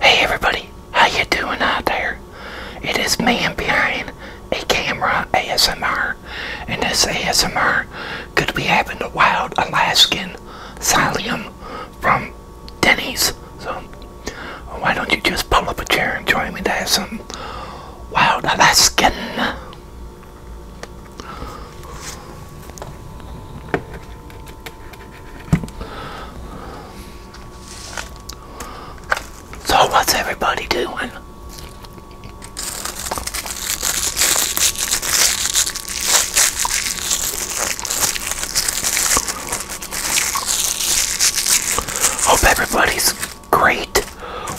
Hey everybody, how you doing out there? It is man behind a camera ASMR, and this ASMR could be having the wild Alaskan psyllium from Denny's. So why don't you just pull up a chair and join me to have some wild Alaskan? So what's everybody doing? Hope everybody's great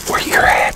where you're at.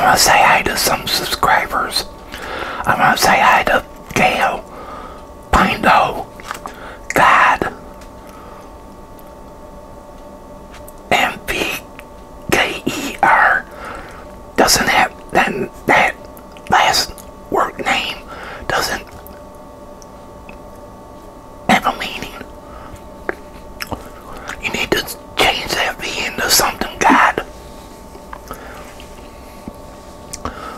I'm gonna say hi to some subscribers. I'm gonna say hi to Gail find God and doesn't have that last word name doesn't have a meaning. You need to change that V into something God.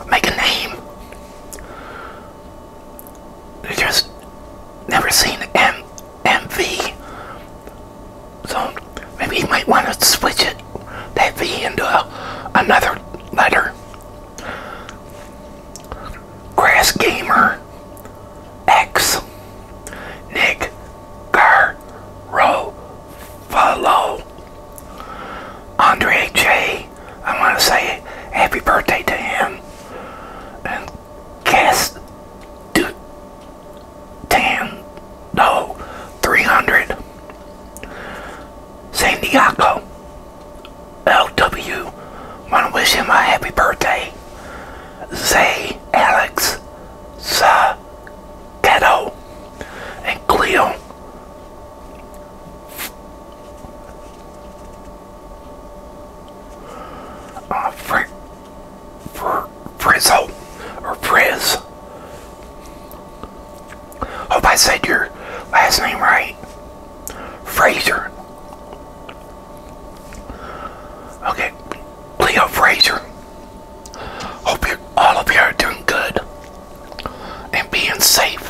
Make a name just never seen M MV. So maybe you might want to switch it that V into another letter. Grass Gamer X Nick Garro Andre J I want to say happy birthday to him. And guess du Tan, no, 300. San Diego, LW, want to wish him a happy birthday. Zay, Alex, Sa, Ghetto, and Cleo uh, fr fr frizzle or Friz. Hope I said your last name right. Fraser. Okay, Leo Fraser. Hope you all of you are doing good and being safe.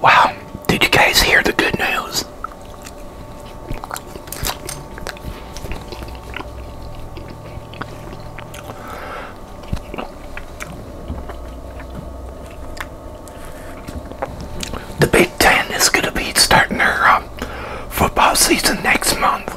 Wow, did you guys hear the good news? The Big Ten is going to be starting their uh, football season next month.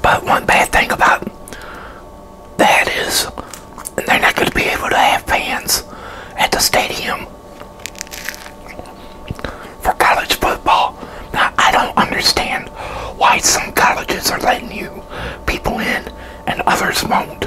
But one bad thing about that is they're not going to be able to have fans at the stadium for college football. Now, I don't understand why some colleges are letting you people in and others won't.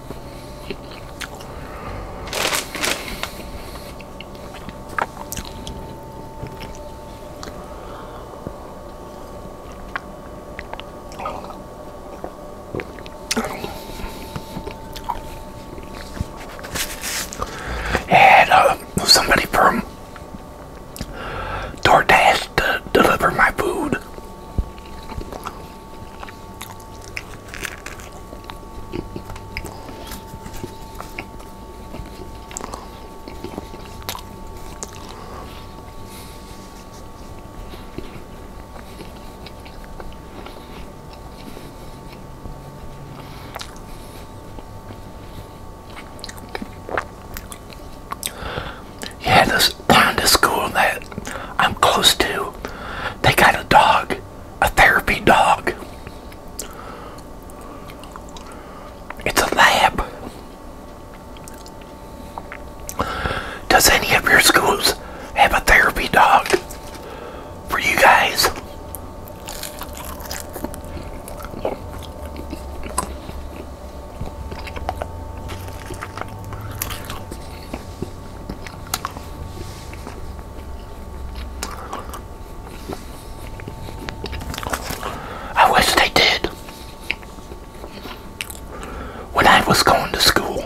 Had uh, somebody from DoorDash to deliver my food. Yeah, this down to school that I'm close to, they got a dog, a therapy dog. It's a lab. Does any of your schools have a therapy dog for you guys? I wish they did. When I was going to school,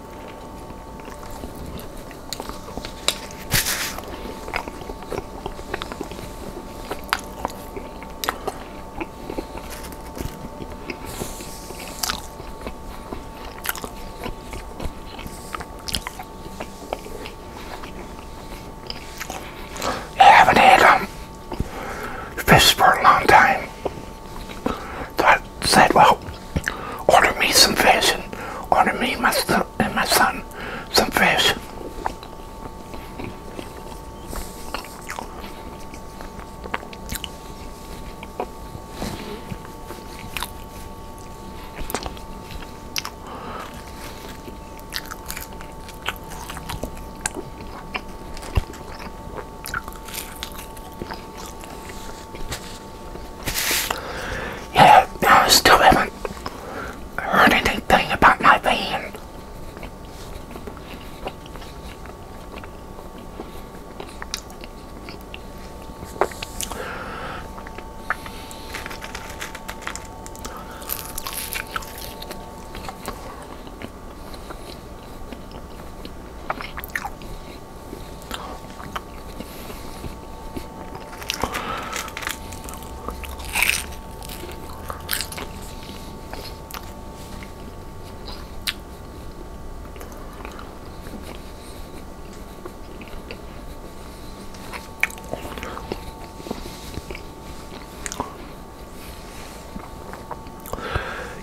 I haven't had um, fish for a long time. So I said, well, order me some fish and order me my and my son some fish. Yeah, I still haven't heard anything about my van.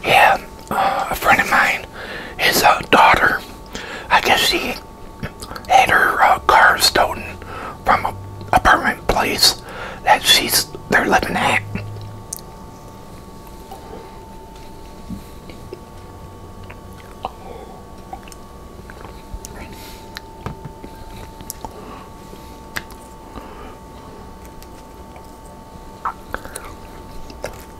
Yeah, uh, a friend of mine, his uh, daughter, I guess she had her uh, car stolen from a apartment place that she's they're living at.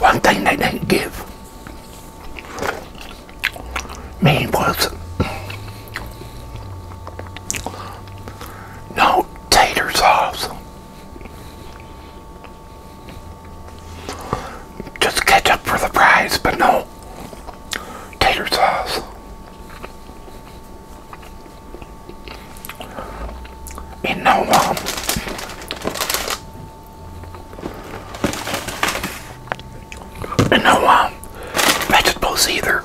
One thing they didn't give me was no tater sauce. Just ketchup for the fries, but no tater sauce in no um, and no um, vegetables either.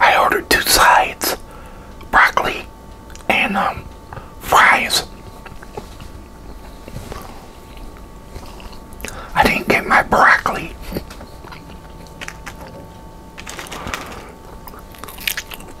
I ordered two sides, broccoli and um, fries. I didn't get my broccoli.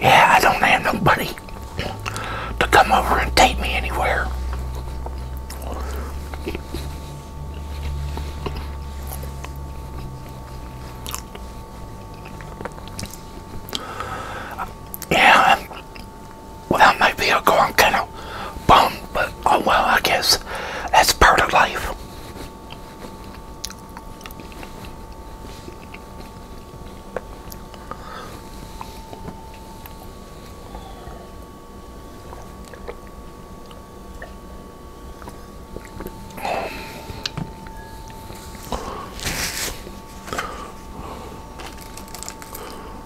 Yeah, I don't have nobody to come over and take me anywhere. Yeah, well, that might be a going kind of bum, but oh well, I guess that's part of life.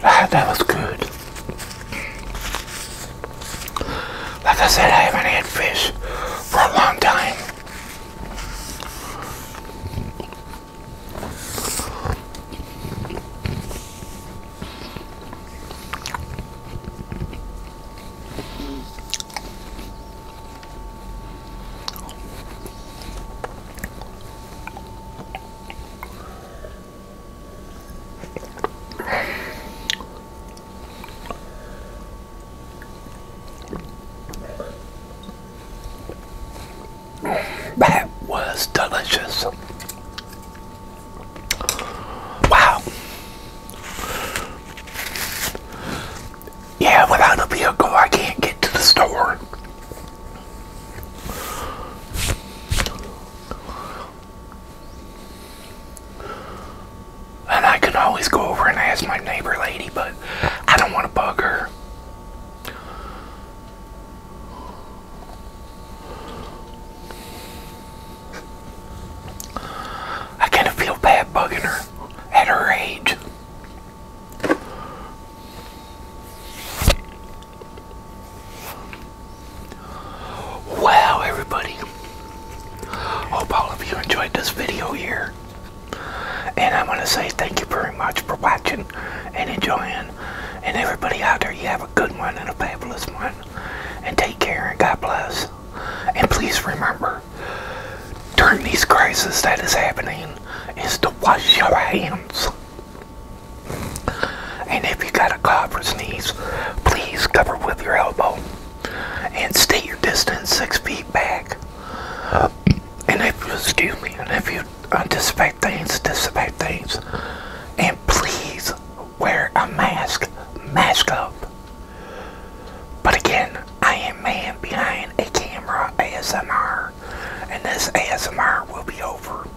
Ah, that was good. Like I said, I haven't had fish for a long time. That was delicious. Wow. Yeah, without a vehicle, I can't get to the store. And I can always go over and ask my neighbor lady, but I don't want to bug her. I kind of feel bad bugging her at her age. Wow, everybody. Hope all of you enjoyed this video here. And I want to say thank you very much for watching and enjoying. And everybody out there, you have a good one and a fabulous one. And take care and God bless. And please remember, during these crisis that is happening, is to wash your hands. And if you got a cough or sneeze, please cover with your elbow and stay your distance six feet back. and if you excuse me, and if you anticipate things, anticipate things, and please wear a mask, mask up. But again, I am man behind a camera ASMR, and this ASMR will be over.